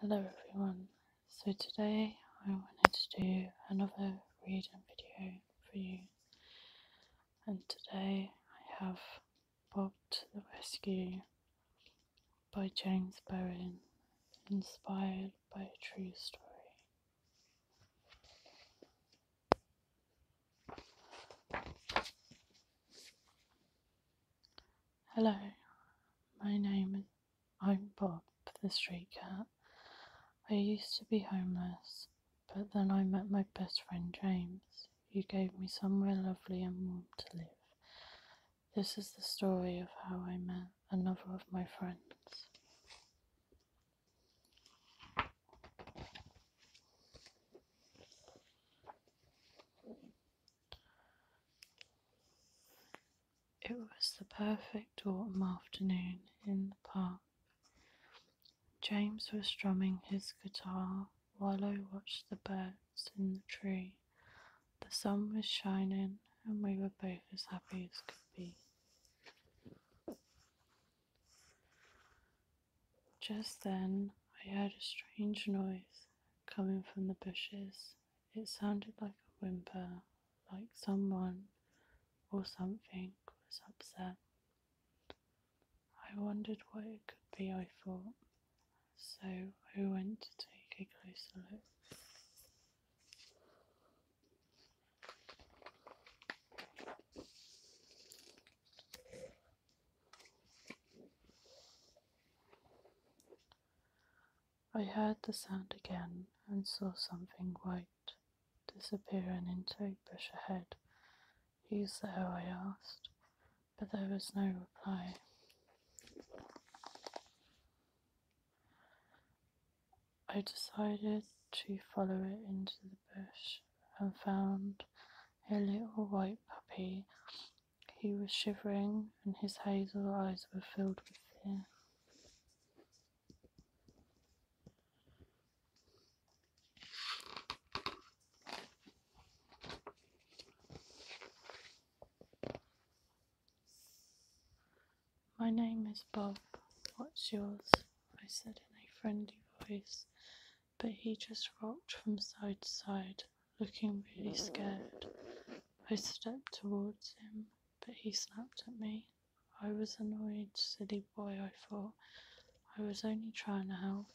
Hello everyone, so today I wanted to do another read and video for you and today I have Bob the Rescue by James Bowen, inspired by a true story. Hello, my name is I'm Bob, the street cat. I used to be homeless, but then I met my best friend James, He gave me somewhere lovely and warm to live. This is the story of how I met another of my friends. It was the perfect autumn afternoon in the park. James was strumming his guitar while I watched the birds in the tree. The sun was shining, and we were both as happy as could be. Just then I heard a strange noise coming from the bushes. It sounded like a whimper, like someone or something was upset. I wondered what it could be, I thought, so I went to take a closer look. I heard the sound again and saw something white disappear into a bush ahead. Who's there? I asked, but there was no reply. I decided to follow it into the bush and found a little white puppy. He was shivering, and his hazel eyes were filled with fear. My name is Bob. What's yours? I said in a friendly voice but he just rocked from side to side, looking really scared. I stepped towards him, but he snapped at me. I was annoyed, silly boy, I thought. I was only trying to help.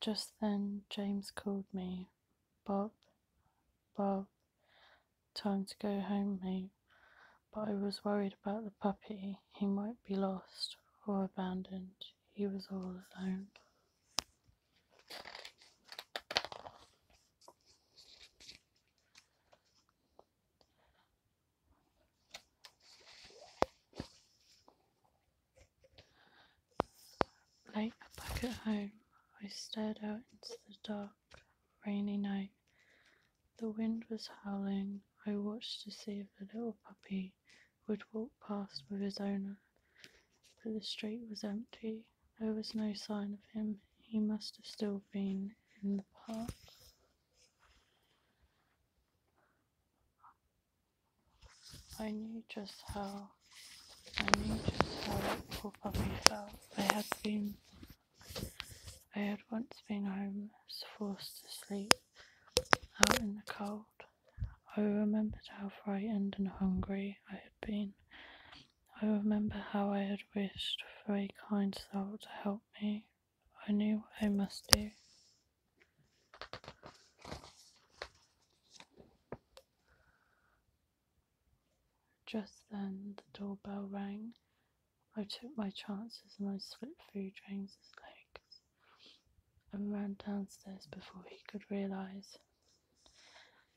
Just then, James called me, Bob, Bob. Time to go home, mate. But I was worried about the puppy. He might be lost or abandoned. He was all alone. Late back at home, I stared out into the dark rainy night. The wind was howling. I watched to see if the little puppy would walk past with his owner. But the street was empty. There was no sign of him. He must have still been in the park. I knew just how I mean just how poor puppy felt. I had been I had once been homeless, forced to sleep out in the cold. I remembered how frightened and hungry I had been. I remember how I had wished for a kind soul to help me. I knew what I must do. Just then the doorbell rang. I took my chances and I slipped through James's legs and ran downstairs before he could realise.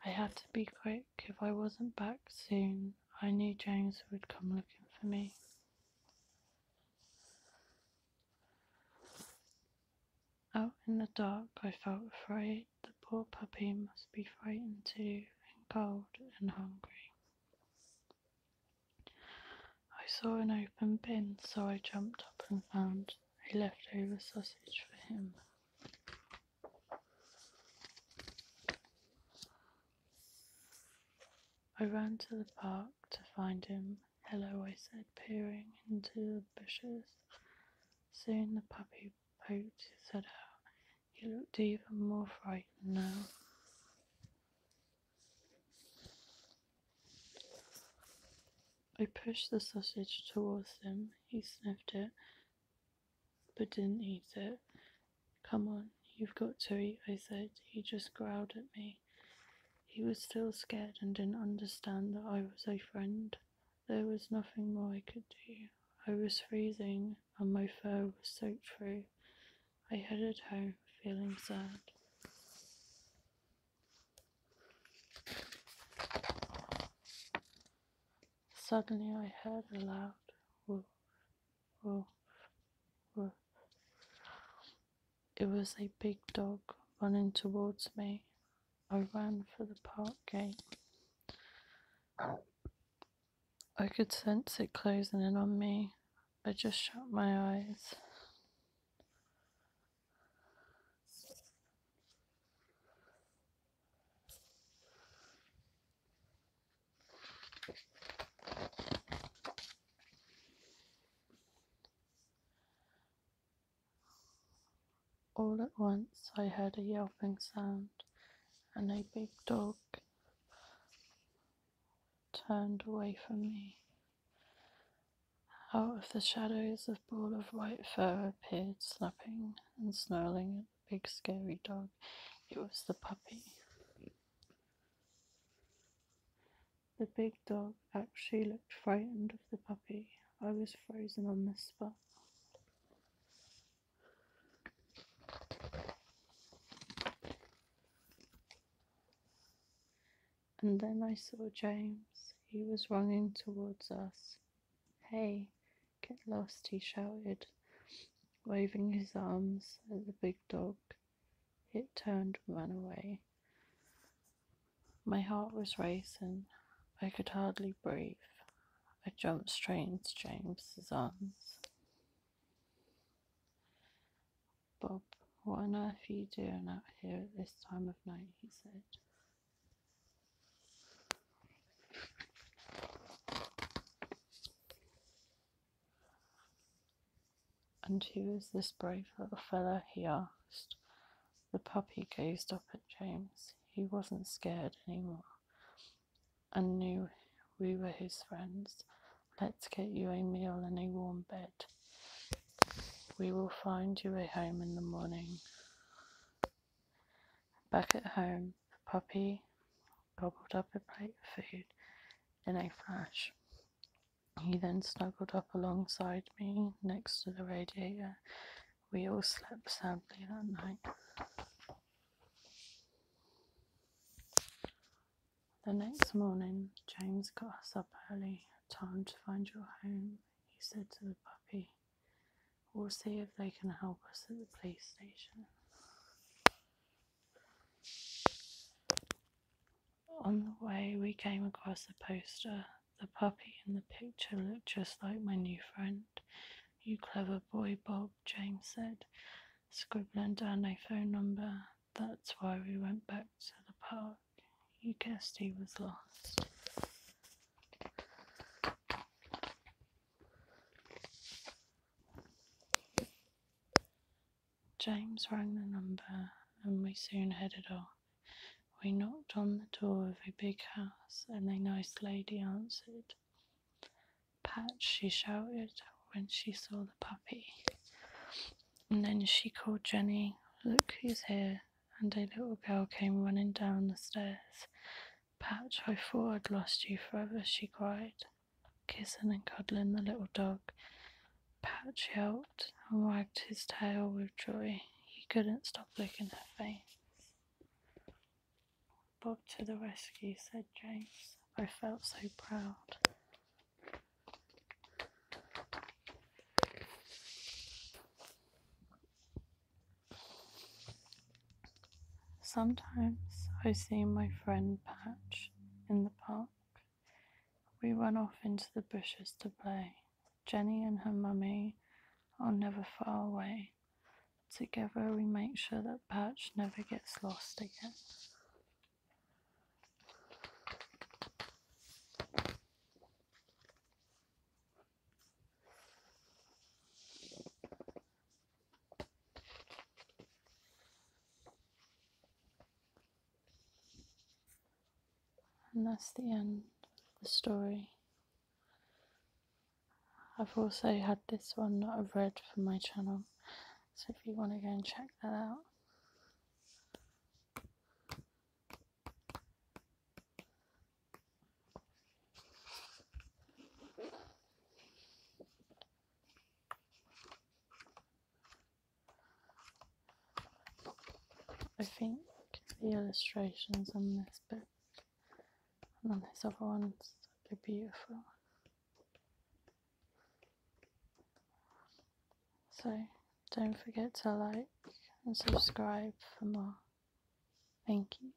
I had to be quick. If I wasn't back soon, I knew James would come looking for me. Out in the dark I felt afraid, the poor puppy must be frightened too, and cold and hungry. I saw an open bin, so I jumped up and found a leftover sausage for him. I ran to the park to find him. Hello, I said, peering into the bushes. Soon the puppy poked his head out. Oh, he looked even more frightened now. I pushed the sausage towards him. He sniffed it, but didn't eat it. Come on, you've got to eat, I said. He just growled at me. He was still scared and didn't understand that I was a friend. There was nothing more I could do. I was freezing, and my fur was soaked through. I headed home, feeling sad. Suddenly, I heard a loud woof, woof, woof. It was a big dog running towards me. I ran for the park gate. I could sense it closing in on me. I just shut my eyes. All at once I heard a yelping sound, and a big dog turned away from me. Out of the shadows, a ball of white fur appeared, snapping and snarling at the big scary dog. It was the puppy. The big dog actually looked frightened of the puppy. I was frozen on the spot. And then I saw James. He was running towards us. Hey, get lost, he shouted, waving his arms at the big dog. It turned ran away. My heart was racing. I could hardly breathe. I jumped straight into James's arms. Bob, what on earth are you doing out here at this time of night? he said. And who is this brave little fellow? he asked. The puppy gazed up at James. He wasn't scared any more, and knew we were his friends. Let's get you a meal and a warm bed. We will find you a home in the morning. Back at home, Puppy gobbled up a plate of food in a flash. He then snuggled up alongside me next to the radiator. We all slept soundly that night. The next morning, James got us up early. Time to find your home, he said to the puppy. We'll see if they can help us at the police station. On the way, we came across a poster. The puppy in the picture looked just like my new friend. You clever boy, Bob, James said, scribbling down a phone number. That's why we went back to the park. You guessed he was lost. James rang the number, and we soon headed off. We knocked on the door of a big house, and a nice lady answered. Pat, she shouted when she saw the puppy. And then she called Jenny, Look who's here! And a little girl came running down the stairs. Pat, I thought I'd lost you forever, she cried kissing and cuddling the little dog. Patch yelped and wagged his tail with joy. He couldn't stop licking her face. Bob to the rescue, said James. I felt so proud. Sometimes I see my friend Patch in the park. We run off into the bushes to play. Jenny and her mummy are never far away. Together we make sure that Patch never gets lost again. And that's the end of the story. I've also had this one that I've read for my channel, so if you want to go and check that out. I think the illustrations on this book and on this other ones are beautiful. So don't forget to like and subscribe for more. Thank you.